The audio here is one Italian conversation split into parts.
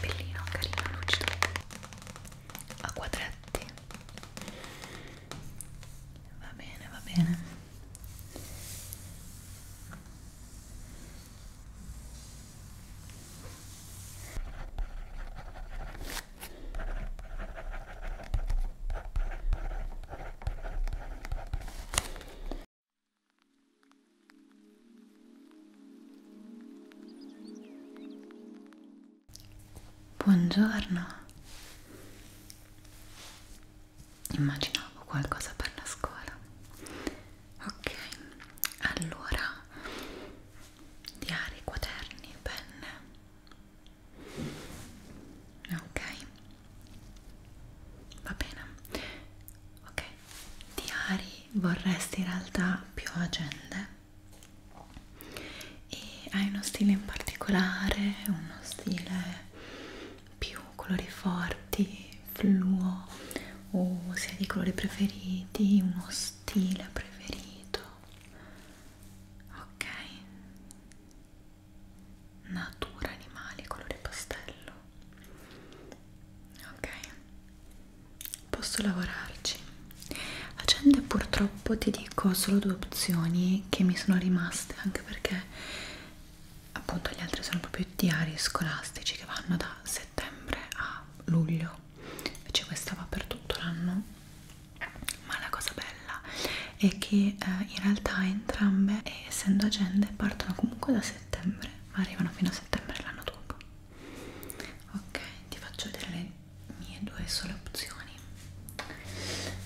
Bellino, carino, lucido a quadretti va bene, va bene Buongiorno. Immaginavo qualcosa per la scuola ok allora diari quaderni penne ok va bene ok diari vorresti in realtà più agende e hai uno stile in particolare uno stile più colori forti fluo o se hai dei colori preferiti, uno stile preferito ok natura, animali, colore pastello ok posso lavorarci agende purtroppo ti dico solo due opzioni che mi sono rimaste anche perché appunto gli altri sono proprio diari scolastici che vanno da settembre a a luglio invece cioè, questa va per tutto l'anno ma la cosa bella è che eh, in realtà entrambe eh, essendo agende partono comunque da settembre ma arrivano fino a settembre l'anno dopo ok ti faccio vedere le mie due sole opzioni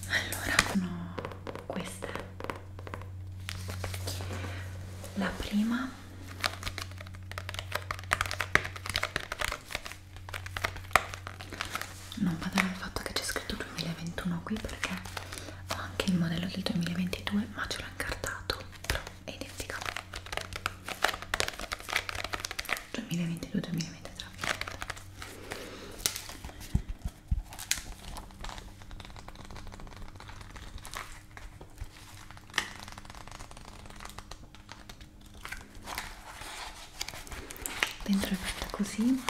allora sono queste la prima qua non vado dal fatto che c'è scritto 2021 qui perché ho anche il modello del 2022 ma ce l'ho incartato però è identica 2022-2023 dentro è fatta così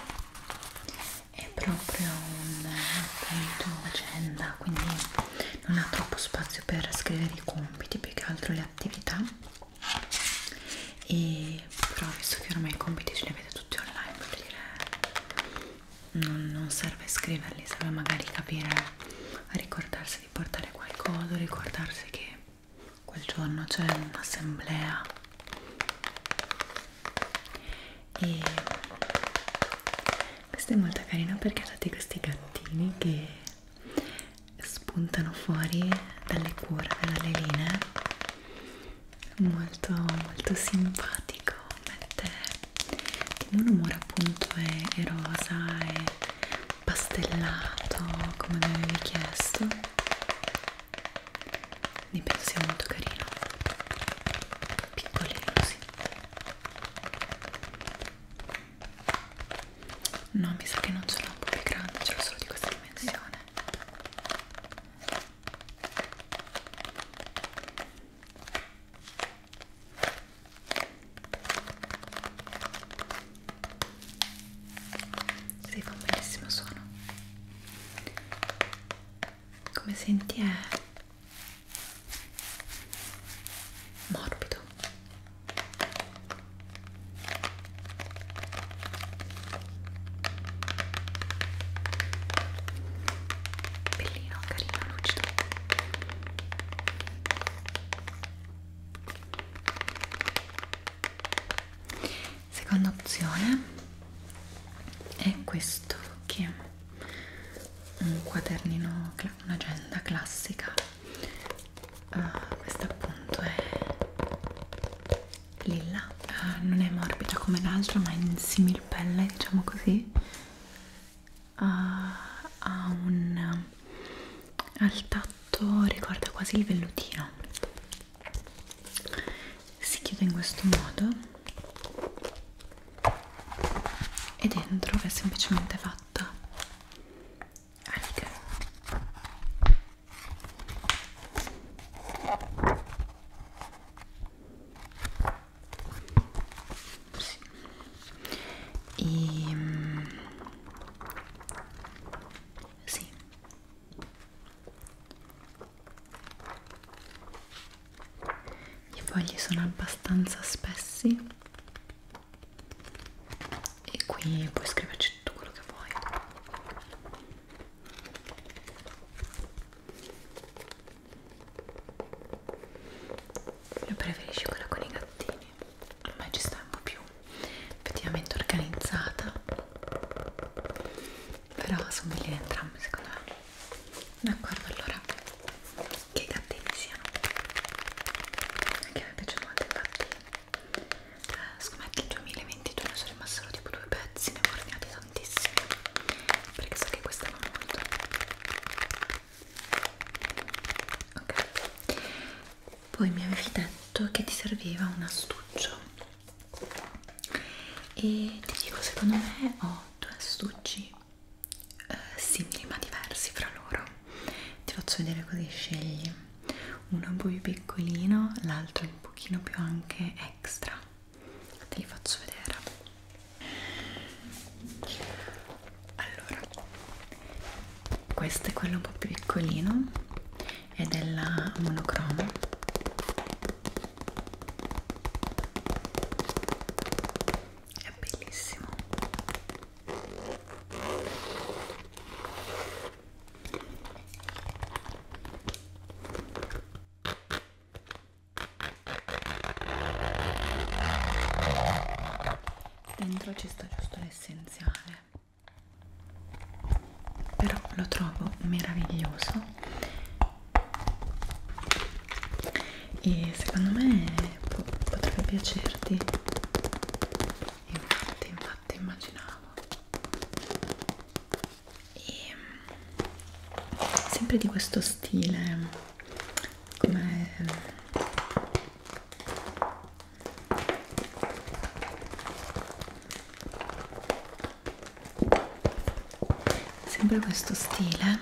è proprio un appunto agenda quindi non ha troppo spazio per scrivere i compiti più che altro le attività e però visto che ormai i compiti ce li avete tutti online vuol dire non, non serve scriverli serve magari capire ricordarsi interesse di portare qualcosa, ricordarsi che quel giorno c'è un'assemblea e questa è molto carina perché ha dati questi gattini che spuntano fuori dalle curve, dalle linee molto molto simpatico mette il mio umore appunto è, è rosa, è pastellato come mi avevi chiesto mi penso sia molto carino piccolino sì no mi sa che non ce l'ho un po' più grande ce l'ho solo di questa dimensione si fa un bellissimo suono come senti è morbido bellino, carino, lucido seconda opzione è questo che è un quadernino un'agenda classica uh, ah, questa appunto è lilla uh, non è morbida come l'altra ma è in simil pelle diciamo così ha, ha un al tatto ricorda quasi il vellutino si chiude in questo modo e dentro è semplicemente fatta a righe sì. E, ehm, sì. I fogli sono abbastanza spessi e qui puoi scriverci tutto quello che vuoi. Io preferisco quella con i gattini quindi ormai ci sta un po' più effettivamente organizzata però sono belline entrambe secondo me d'accordo allora che gattini siano anche a me piace molto infatti eh, scommetto il 2022 ne sono rimasto solo tipo due pezzi ne ho ordinati tantissimi perché so che questa va molto ok poi mi avevi detto che ti serviva un astuccio e ti dico secondo me ho due astucci eh, simili ma diversi fra loro ti faccio vedere così scegli uno un po' più piccolino l'altro un pochino più anche extra te li faccio vedere allora questo è quello un po' più piccolino è della monocromo è bellissimo dentro ci sta giusto l'essenziale però lo trovo meraviglioso e secondo me po potrebbe piacerti infatti infatti immaginavo e ehm, sempre di questo stile come sempre questo stile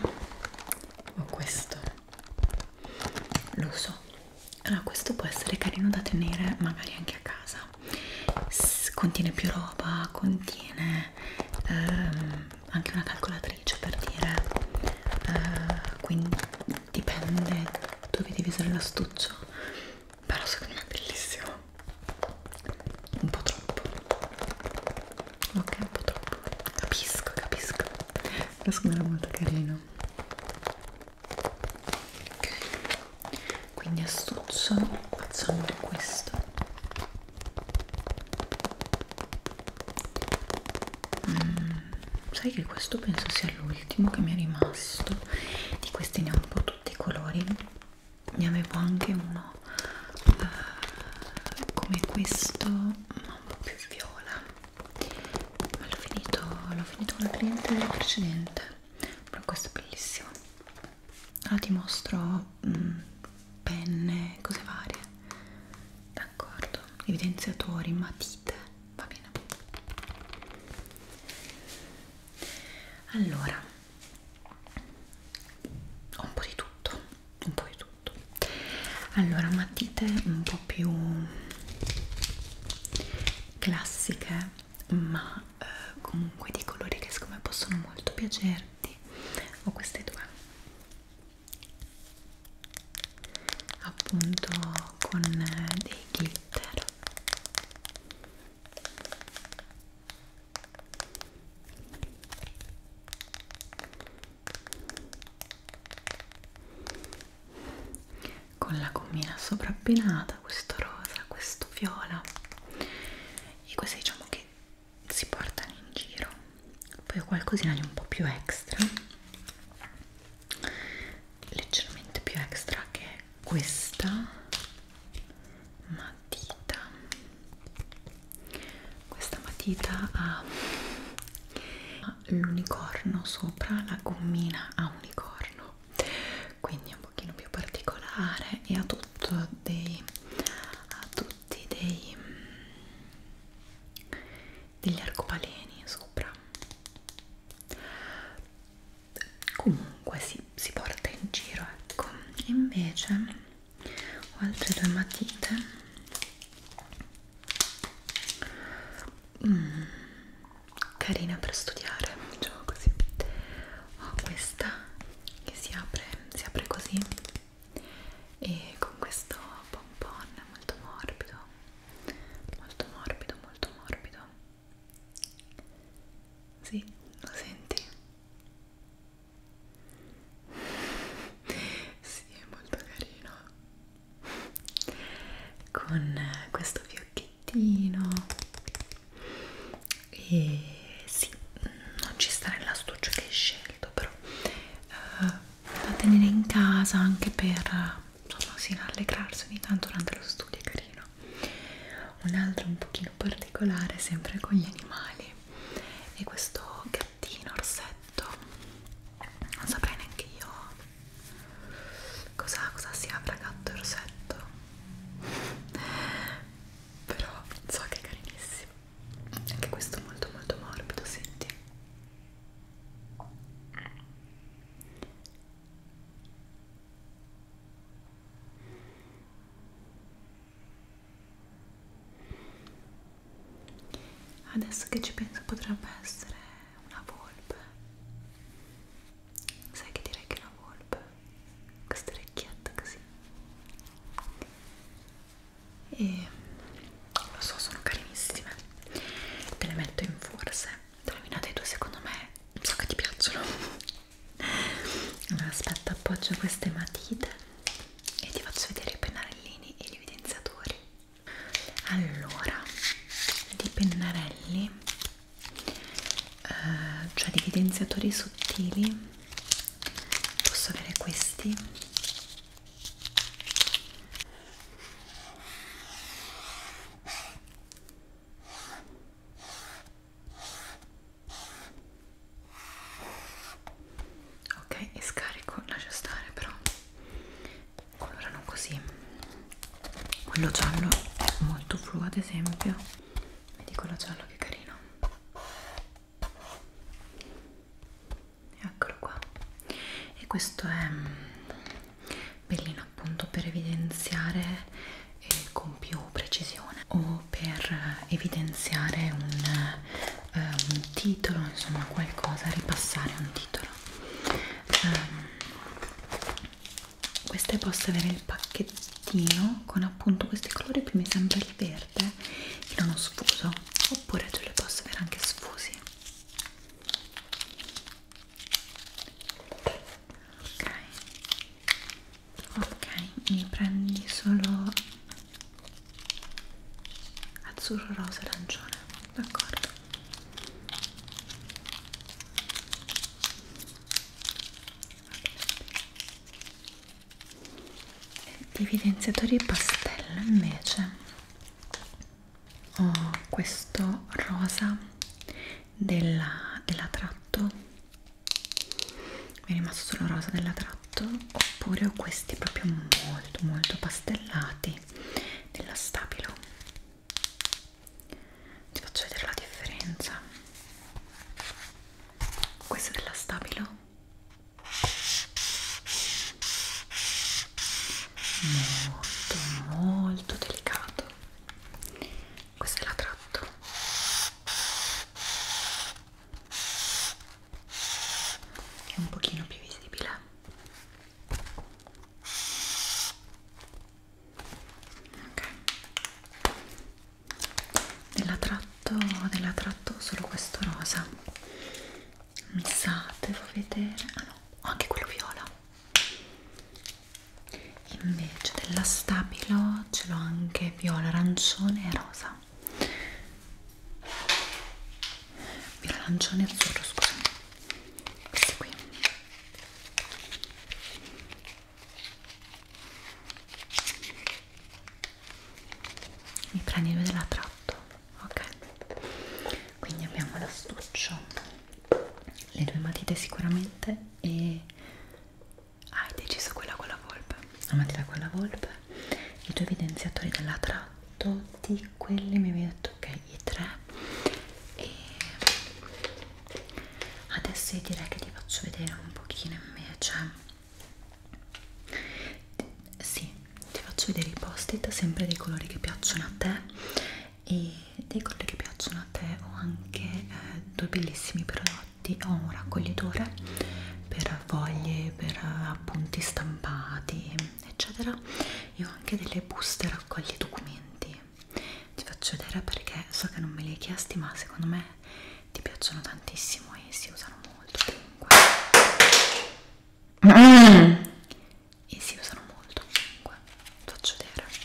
o questo lo so allora questo può essere carino da tenere magari anche a casa S contiene più roba contiene ehm, anche una calcolatrice cioè per dire eh, quindi dipende dove devi usare l'astuccio però secondo me è bellissimo un po' troppo ok un po' troppo capisco capisco però secondo me è molto carino ok quindi astuccio facciamo questo mm sai che questo penso sia l'ultimo che mi è rimasto di questi ne ho un po' tutti i colori ne avevo anche uno uh, come questo ma un po' più viola ma l'ho finito l'ho finito con la cliente precedente però questo è bellissimo allora ti mostro mh, mm, penne cose varie d'accordo evidenziatori matite va bene allora ho un po' di tutto un po' di tutto allora matite un po' più classiche ma eh, comunque di colori che secondo me possono molto piacerti ho queste due appunto con eh, dei glitter con la gommina sovrabbinata questo rosa questo viola e così diciamo che si portano in giro poi qualcosina di un po' più extra leggermente più extra che è questa matita questa matita ha l'unicorno sopra la gommina a unicorno quindi è un pochino più particolare e ha tutto dei ha tutti dei degli arcopaleni sopra comunque si, si porta in giro ecco invece ho altre due matite mm, carina per studiare diciamo così ho questa che si apre si apre così e con questo pompon molto morbido molto morbido, molto morbido. Sì, lo senti? Sì, è molto carino. Con questo fiocchettino. E sì, non ci sta nell'astuccio che hai scelto, però uh, da tenere in casa anche per insomma sì, rallegrarsi ogni tanto durante lo studio è carino un altro un pochino particolare sempre con gli animali e questo gattino orsetto non saprei neanche io cosa, cosa sia fra gatto e orsetto però so che è carinissimo anche questo molto molto morbido senti Adesso che ci penso potrebbe essere una volpe. Sai che direi che è una volpe? Questa orecchietta così. E lo so sono carinissime te le metto in forse indovinate tu secondo me so che ti piacciono allora aspetta appoggio queste matite e ti faccio vedere i pennarellini e gli evidenziatori allora di pennarelli eh, cioè di evidenziatori sottili posso avere questi Ok, e scarico, lascio stare però colorano così. Quello giallo è molto flu ad esempio. Vedi quello giallo che carino eccolo qua e questo è mm, bellino appunto per evidenziare eh, con più precisione o per evidenziare un, eh, un titolo insomma qualcosa ripassare un titolo um, queste posso avere il pacchettino con appunto questi colori qui mi sembra il verde in uno sfuso oppure tu le posso avere anche sfusi ok ok mi prendi solo azzurro rosa e arancione d'accordo di evidenziatori pastello invece ho oh, questo rosa della, della tratto mi è rimasto solo rosa della tratto oppure ho questi proprio molto molto pastellati della stabilo ti faccio vedere la differenza questo della stabilo molto molto delicato questa è la tratto è un pochino più visibile ok della tratto della tratto solo questo rosa mi sa devo vedere ah no ho anche quello viola invece della stabilo ce l'ho anche viola arancione e rosa viola arancione e azzurro scusami queste qui mi prendi due della tratto ok quindi abbiamo l'astuccio le due matite sicuramente e hai ah, deciso quella con la volpe la matita con la volpe i due evidenziatori della tratto di quelli mi avevi detto ok i tre e adesso io direi che ti faccio vedere un pochino invece sì ti faccio vedere i post-it sempre dei colori che piacciono a te e dei colori che piacciono a te ho anche eh, due bellissimi prodotti ho un raccoglitore per foglie per appunti stampati eccetera e ho anche delle buste raccogli documenti ti faccio vedere perché so che non me li hai chiesti ma secondo me ti piacciono tantissimo e si usano molto comunque mm e si usano molto comunque faccio vedere allora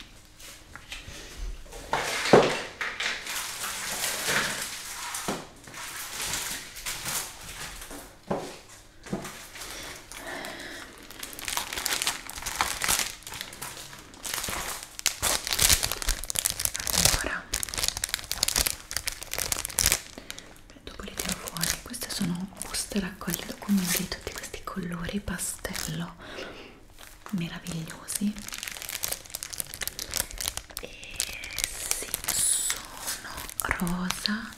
Beh, dopo li tiro fuori. Queste sono buste raccolte documenti di tutti questi colori pastello meravigliosi. E sì, sono rosa,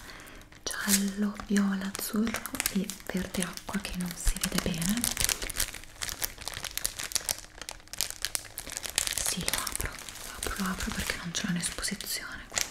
giallo, viola, azzurro e verde acqua che non si vede bene. Sì, lo apro, lo apro, lo apro perché non c'è un'esposizione quindi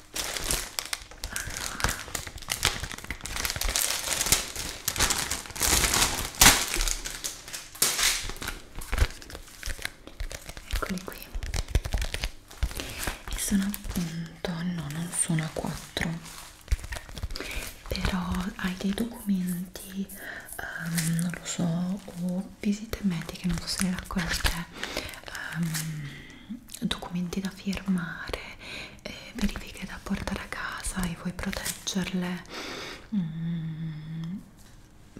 eccoli qui e sono appunto no non sono a 4 però hai dei documenti um, non lo so o visite mediche non so se le raccolte um, documenti da firmare, eh, verifiche da portare a casa e vuoi proteggerle, mm,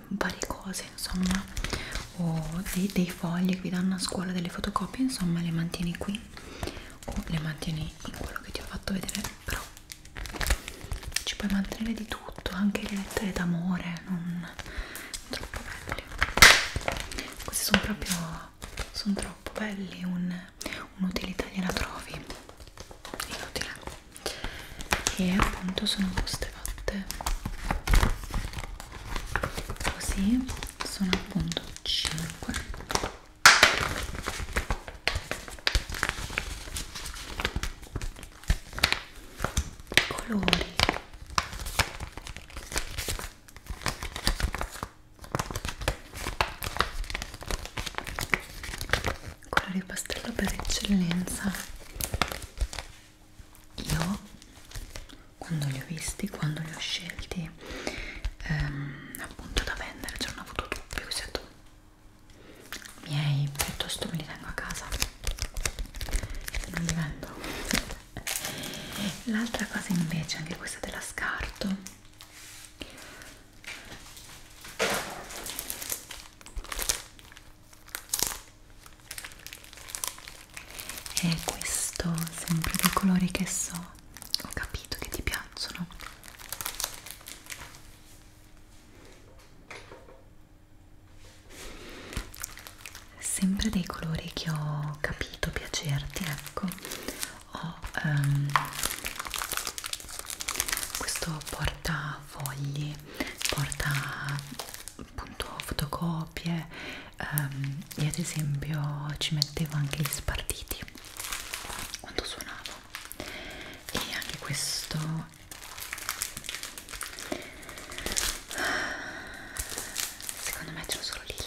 varie cose insomma, o dei, dei fogli che vi danno a scuola, delle fotocopie, insomma le mantieni qui o le mantieni in quello che ti ho fatto vedere, però ci puoi mantenere di tutto, anche le lettere d'amore, non troppo belli questi sono proprio sono troppo belli un'utilità un gliela trovi inutile e appunto sono queste fatte così sono appunto 5 colori quello di pastello per eccellenza io quando li ho visti quando li ho scelti ehm, appunto da vendere c'erano avuto dubbi ho detto miei piuttosto me li tengo a casa non li vendo l'altra cosa invece anche questa della scarto è questo sempre dei colori che so ho capito che ti piacciono sempre dei colori che ho capito piacerti ecco ho um, questo portafogli porta appunto fotocopie um, ehm, io ad esempio ci mettevo anche gli spartiti quando suonavo e anche questo secondo me ce l'ho solo lì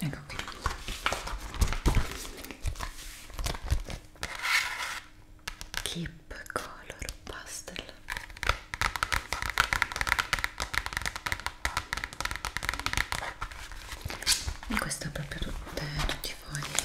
Ecco qui. Keep color pastel. E questo è proprio tutte, tutti i fogli.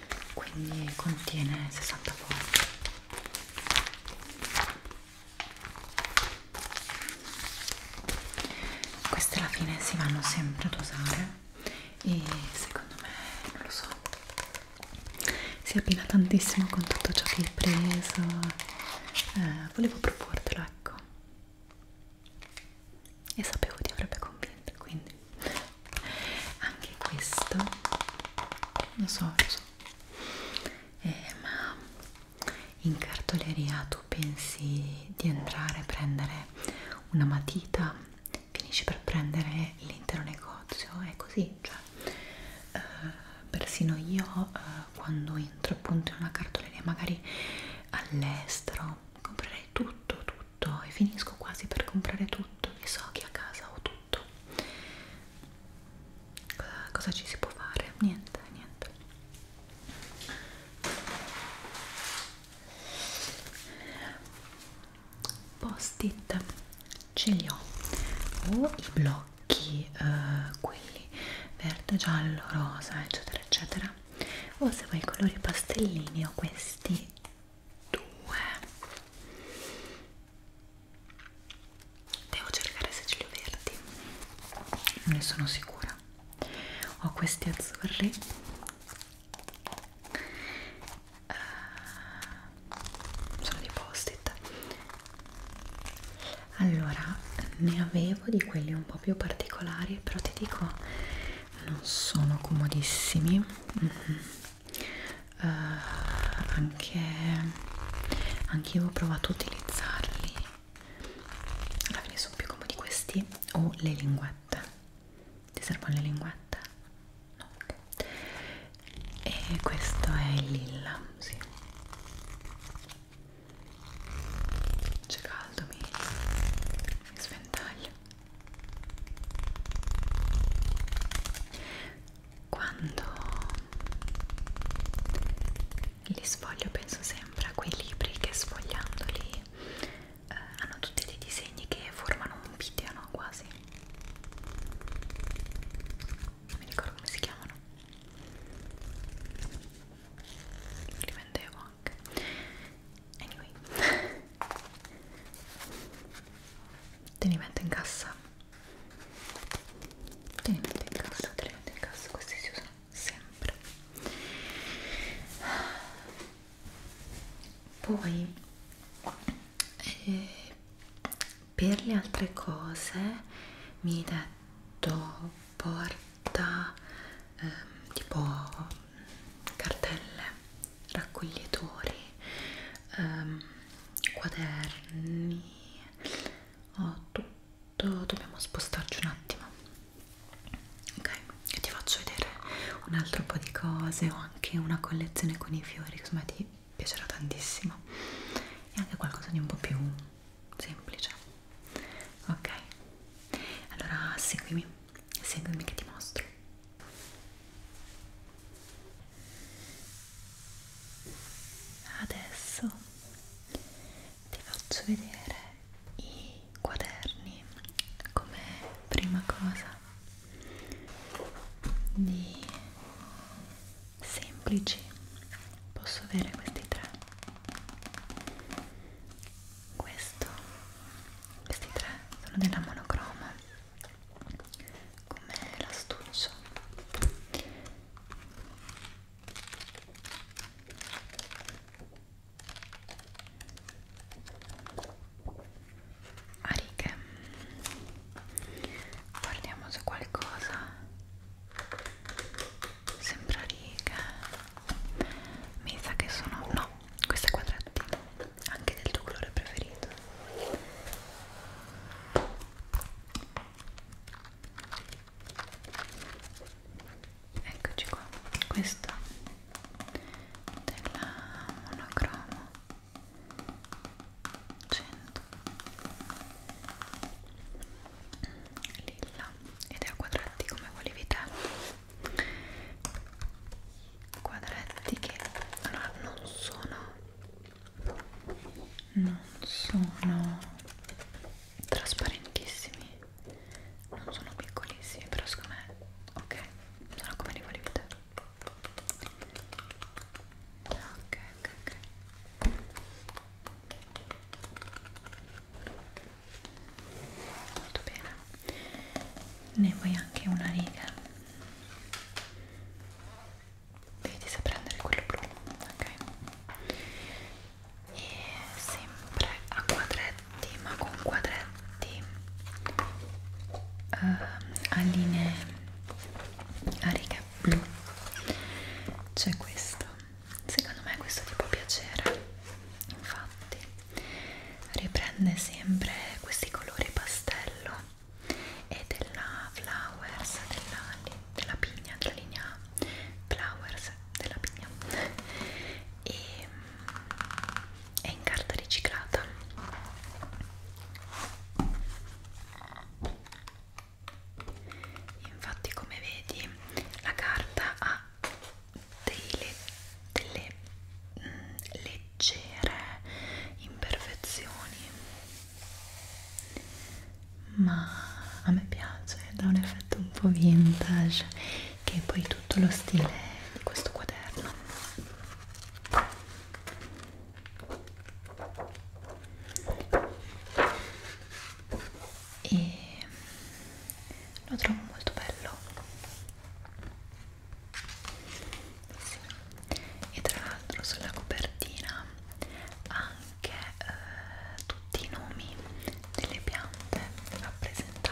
quindi contiene 60 foglie queste alla fine si vanno sempre ad usare e secondo me non lo so si abbina tantissimo con tutto ciò che hai preso eh, volevo proportelo ecco e sapevo ti avrebbe convinto quindi anche questo lo so lo so eh, ma in cartoleria tu pensi di entrare a prendere una matita finisci per prendere l'intero negozio è così cioè eh, persino io eh, quando entro appunto in una cartoleria magari all'estero comprerei tutto tutto tutto e finisco quasi per comprare tutto e so che a casa ho tutto cosa, cosa ci si può fare? niente, niente post-it ce li ho o i blocchi eh, quelli verde, giallo, rosa eccetera eccetera o se vuoi i colori pastellini ho questi due devo cercare se ce li ho verdi non ne sono sicura ho questi azzurri uh, sono di post-it allora ne avevo di quelli un po' più particolari però ti dico non sono comodissimi mm -hmm uh, anche anche io ho provato a utilizzarli alla fine sono più comodi questi o le linguette ti servono le linguette? no ok e questo è il lilla sì. c'è caldo mi, mi sventaglio quando li sfoglio penso sempre a quei libri che sfogliandoli eh, hanno tutti dei disegni che formano un video, no? Quasi. Non mi ricordo come si chiamano. Li vendevo anche. Anyway. te li metto in cassa te li metto in cassa te li metto in cassa questi si usano sempre poi eh, per le altre cose mi hai detto porta eh, tipo mm, cartelle raccoglitori, ehm, quaderni, ho oh, tutto, dobbiamo spostarci un attimo. Ok, io ti faccio vedere un altro po' di cose, ho anche una collezione con i fiori, insomma ti piacerà tantissimo. E anche qualcosa di un po' più semplice. Ok, allora seguimi, seguimi che ti mostro. Adesso ti faccio vedere i quaderni come prima cosa di semplici posso avere questi tre questo questi tre sono della monocroma come l'astuccio a righe guardiamo se qualcosa sembra righe mi sa che sono no questo è quadratino anche del tuo colore preferito eccoci qua questa della monocromo 100 lilla ed è a quadrati come volevi te quadretti che allora non sono non sono trasparentissimi non sono piccolissimi però secondo me ok sono come li volevi te ok ok ok molto bene ne vuoi anche una riga Devi se prendere quello blu, ok? E sempre a quadretti, ma con quadretti uh, a linee a righe blu. C'è questo. Secondo me questo ti può piacere. Infatti riprende sempre questi colori pastello e della Flowers della, della Pigna, della linea Flowers della Pigna e è in carta riciclata infatti come vedi la carta ha dei mm, le, delle mh, le leggere imperfezioni ma a me piace dà un effetto un po' vintage che è poi tutto lo stile di questo quaderno e lo trovo molto bello sì. e tra l'altro sulla copertina anche eh, tutti i nomi delle piante rappresentate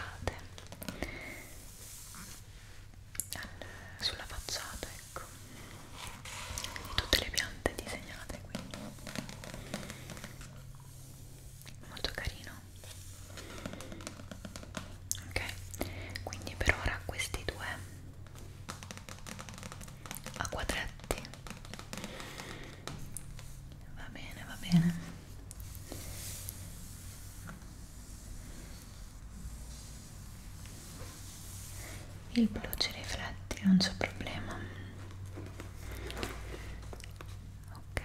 sulla facciata ecco di tutte le piante disegnate qui molto carino ok quindi per ora questi due a quadretti va bene va bene il blu ci rifletti non c'è problema ok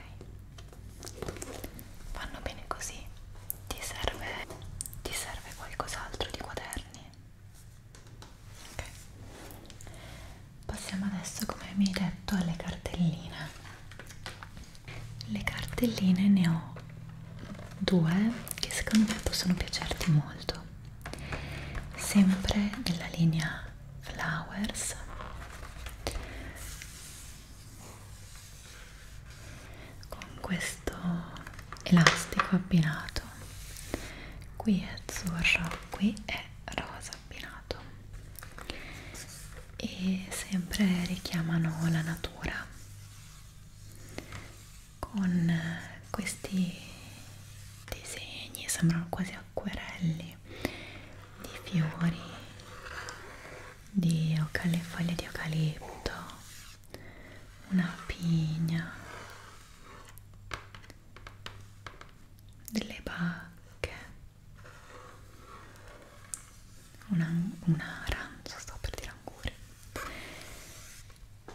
vanno bene così ti serve, ti serve qualcos'altro di quaderni? Ok. Passiamo adesso, come mi hai detto, alle cartelline. Le cartelline ne ho due che secondo me possono piacerti molto. Sempre nella linea Flowers con questo elastico abbinato qui è azzurro qui è rosa abbinato e sempre richiamano la natura con questi disegni sembrano quasi acquerelli di fiori di foglie di eucalipto una pigna, delle bacche, un'arancia, un sto per dire ancora,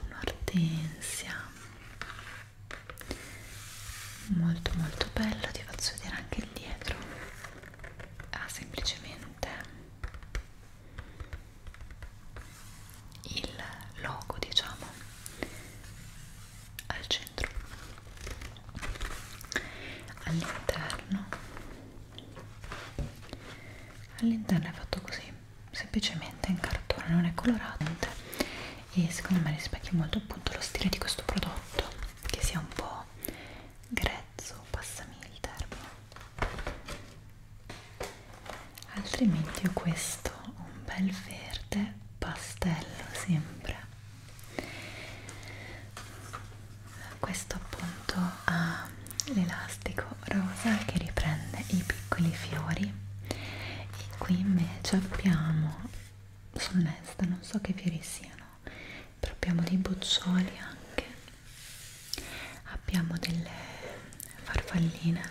un'ortensia, molto molto bello, ti faccio vedere anche il dietro, ha ah, semplicemente il logo diciamo al centro all'interno all'interno è fatto così semplicemente in cartone non è colorante e secondo me rispecchia molto appunto lo stile di questo prodotto che sia un po' grezzo passami il termine altrimenti ho questo un bel verde pastello sempre questo appunto ha l'elastico rosa che riprende i piccoli fiori e qui invece abbiamo sull'esta non so che fiori siano però abbiamo dei boccioli anche abbiamo delle farfalline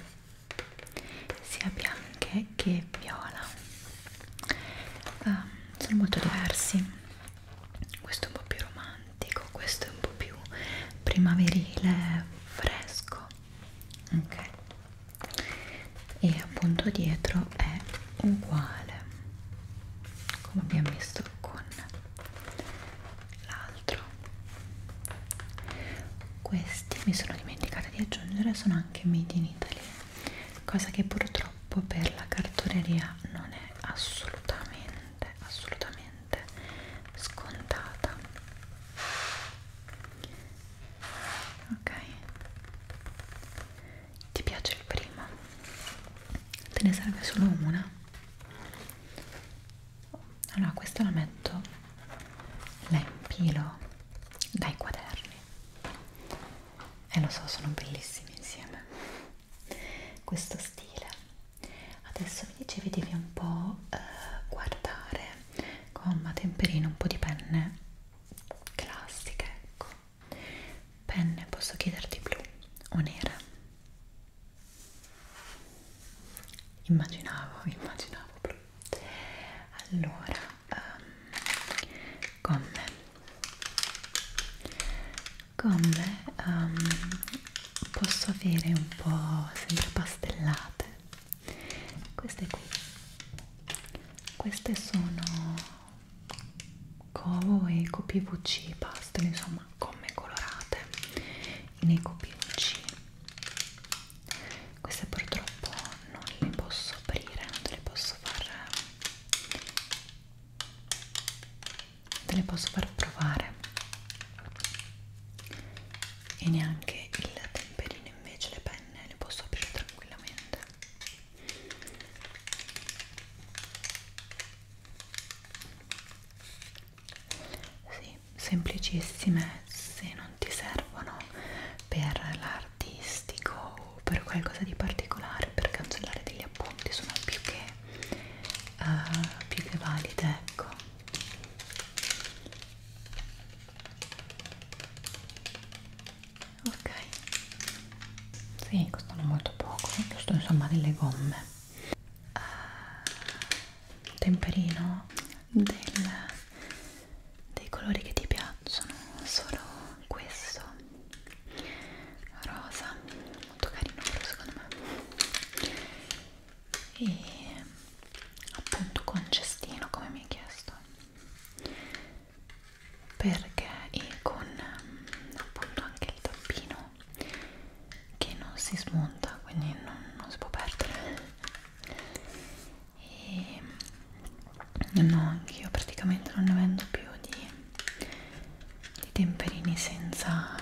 sia bianche che viola ah, sono molto diversi questo è un po' più romantico questo è un po' più primaverile fresco ok e appunto dietro è uguale come abbiamo visto con la altro questi mi sono dimenticata di aggiungere sono anche made in Italy cosa che purtroppo per la cartoleria non è assolutamente assolutamente scontata ok ti piace il primo? te ne serve solo una allora questa la metto la impilo dai quaderni e lo so sono bellissimi insieme questo stile adesso mi dicevi devi un po' eh, guardare gomma, temperino, un po' di penne classiche ecco penne posso chiederti blu o nera immaginavo, immaginavo proprio. Allora, um, ehm, gomme, gomme um, ehm, posso avere un po' sempre pastellate. Queste qui, queste sono Covo e Covo PVC, pastelle, insomma, gomme colorate nei copioci queste purtroppo non le posso aprire non te le posso far te le posso far provare e neanche il temperino invece le penne le posso aprire tranquillamente sì, semplicissime se non ti servono per l'artistico o per qualcosa di particolare per cancellare degli appunti sono più che, uh, più che valide ecco ok sì costano molto poco giusto insomma delle gomme uh, temperino del, dei colori che ti piacciono solo questo rosa molto carino però secondo me e appunto con cestino come mi hai chiesto perché e con appunto anche il tappino che non si smonta quindi non, non si può perdere e no io praticamente non ne vendo più di, di temperini senza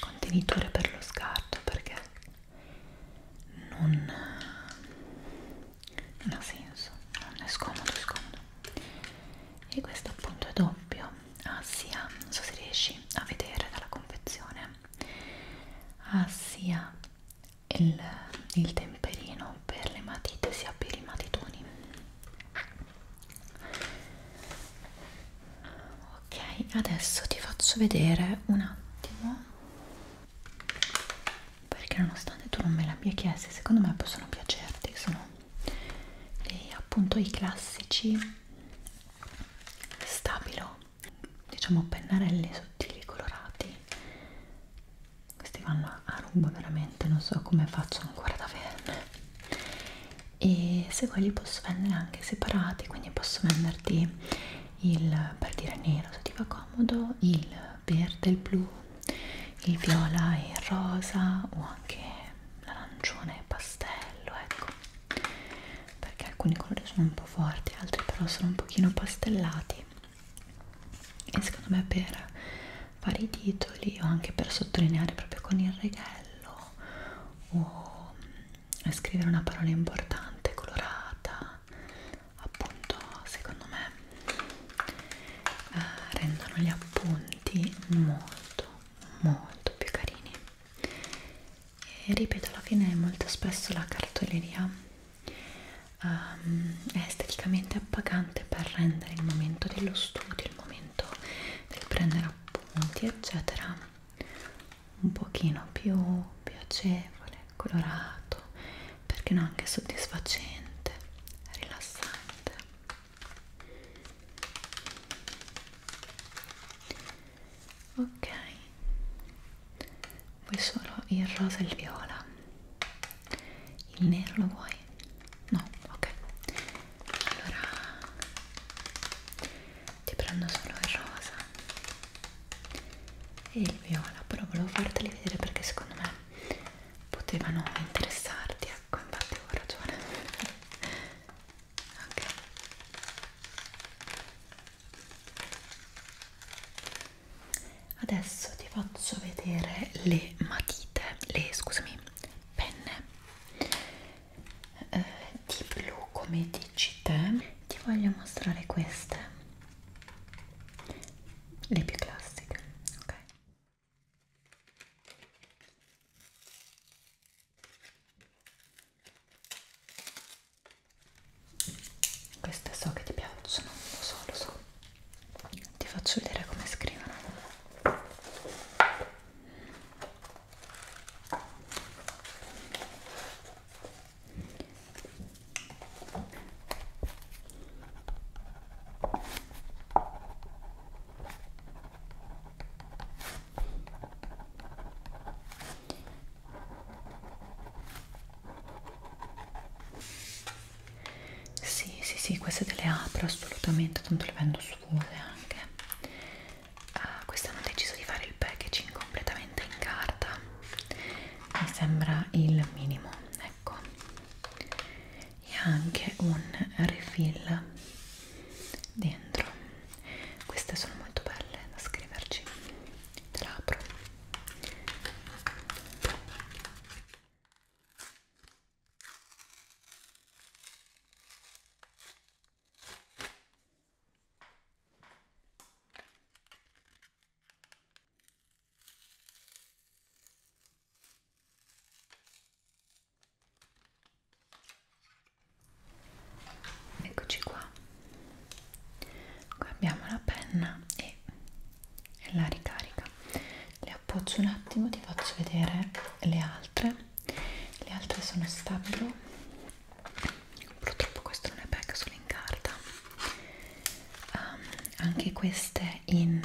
contenitore per lo scarto perché non, non ha senso non è scomodo è scomodo e questo appunto è doppio ah sia, ah, non so se riesci a vedere dalla confezione ha ah, sia il, il temperino per le matite sia per i matitoni ok adesso ti faccio vedere un attimo perché nonostante tu non me l'abbia chiesto secondo me possono piacerti sono dei, appunto i classici stabilo diciamo pennarelli sottili colorati questi vanno a ruba veramente non so come faccio ancora ad averne e se vuoi li posso vendere anche separati quindi posso venderti il per dire nero se ti va comodo il verde, il blu il viola e il rosa o anche l'arancione pastello ecco perché alcuni colori sono un po' forti altri però sono un pochino pastellati e secondo me per fare i titoli o anche per sottolineare proprio con il reghello o mm, scrivere una parola importante colorata appunto secondo me eh, rendono gli appunti molto molto più carini e ripeto alla fine molto spesso la cartoleria um, è esteticamente appagante per rendere il momento dello studio, il momento del prendere appunti eccetera un pochino più piacevole, colorato, perché no anche soddisfacente, rilassante ok vuoi solo il rosa e il viola il nero lo vuoi? no, ok allora ti prendo solo il rosa e il viola però volevo farteli vedere perché secondo me potevano interessarti ecco infatti ho ragione ok adesso ti faccio vedere le matite le scusami penne eh, di blu come dici te ti voglio mostrare queste le più classiche ok queste so che ti piacciono, lo so, lo so. Ti faccio vedere come scrivono. Sì, sì, sì, queste te le apro assolutamente, tanto le vendo sfuse anche. Uh, ah, quest'anno ho deciso di fare il packaging completamente in carta, mi sembra il minimo, ecco. E anche un refill dentro queste sono molto belle da scriverci te la apro eccoci qua qua abbiamo la penna e la ricarica le appoggio un attimo ti faccio vedere le altre le altre sono stabilo purtroppo questo non è pack solo in carta um, anche queste in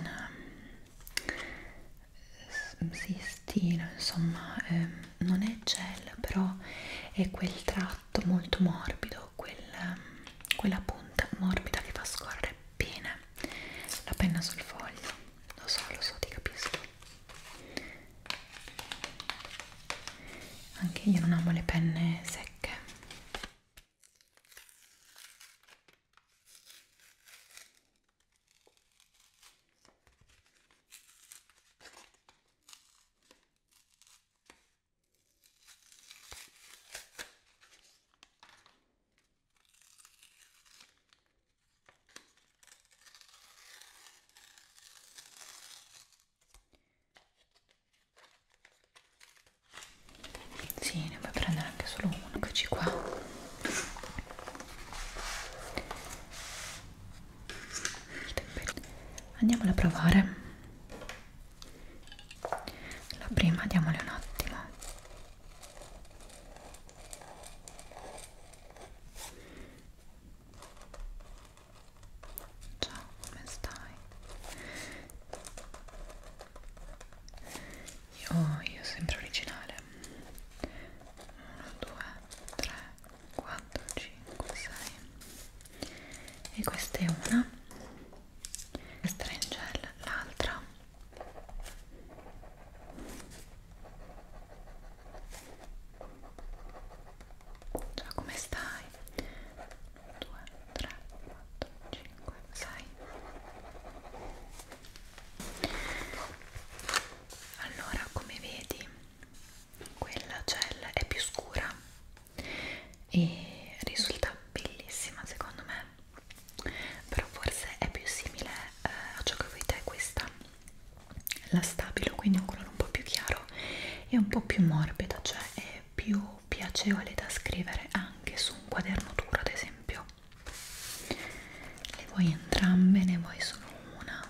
um, sì, stilo insomma eh, non è gel però è quel tratto molto morbido quel, ehm, quella punta morbida che fa scorrere bene la penna sul foglio lo so lo so ti capisco anche io non amo le penne secche sì, ne puoi prendere anche solo uno, eccoci qua andiamola a provare la prima diamole un attimo ciao come stai io, io sempre originale 1 2 3 4, 5, 6 e questa è una questa è in gel, l'altra già come stai? 2, 3, 4, 5, 6 allora come vedi quella gel cioè, è più scura e risulta bellissima secondo me però forse è più simile eh, a ciò che vedete questa la stabilo quindi un colore un po' più chiaro e un po' più morbida cioè è più piacevole da scrivere anche su un quaderno duro ad esempio le vuoi entrambe? ne vuoi solo una?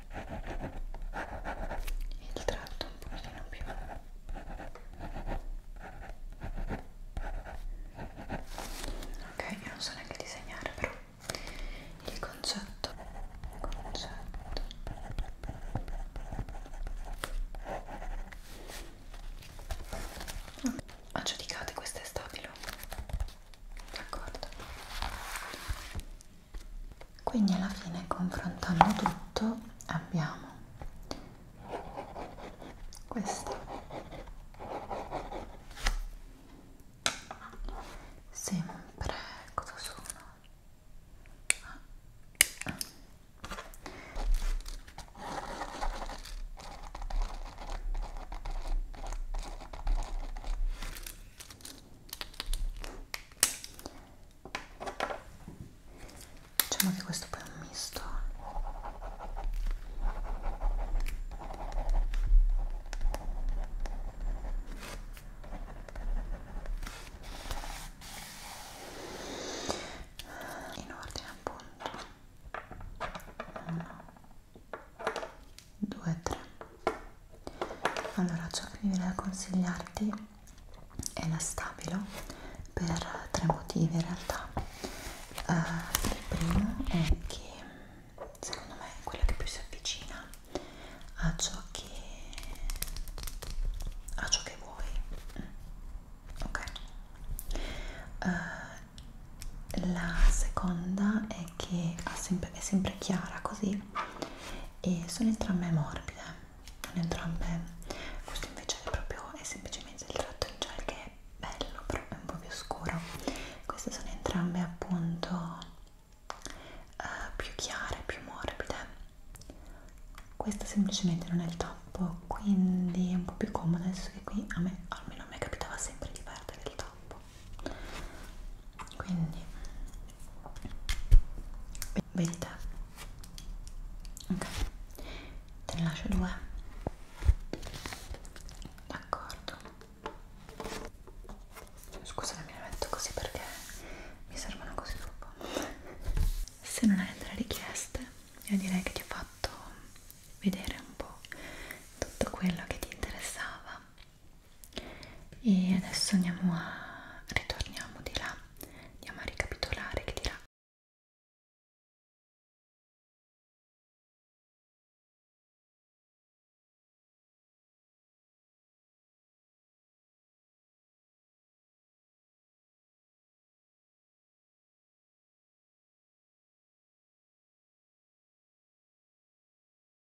il tratto un pochino più ok io non so neanche disegnare però il concetto il concetto okay. ho giudicato questo è stabile d'accordo quindi alla fine confrontando tutto abbiamo questa sempre cosa sono ah. Ah diciamo che questo poi è un misto in ordine appunto 1 2 3 allora ciò che mi viene da consigliarti è inastabilo per tre motivi in realtà uh, il primo è che secondo me è quella che più si avvicina a ciò che a ciò che vuoi ok uh, la seconda è che è sempre, è sempre chiara così e sono entrambe morbide non entrambe questo invece è proprio è semplicemente il tratto in gel che è bello però è un po' più scuro queste sono entrambe appunto uh, più chiare più morbide questa semplicemente non è il tappo quindi è un po' più comoda adesso che qui a me almeno a me capitava sempre di perdere il tappo quindi vedete ok te ne lascio due d'accordo scusa mi la metto così perché mi servono così troppo se non hai altre richieste io direi che ti ho fatto vedere un po' tutto quello che ti interessava e adesso andiamo a ritorniamo di là andiamo a ricapitolare che di là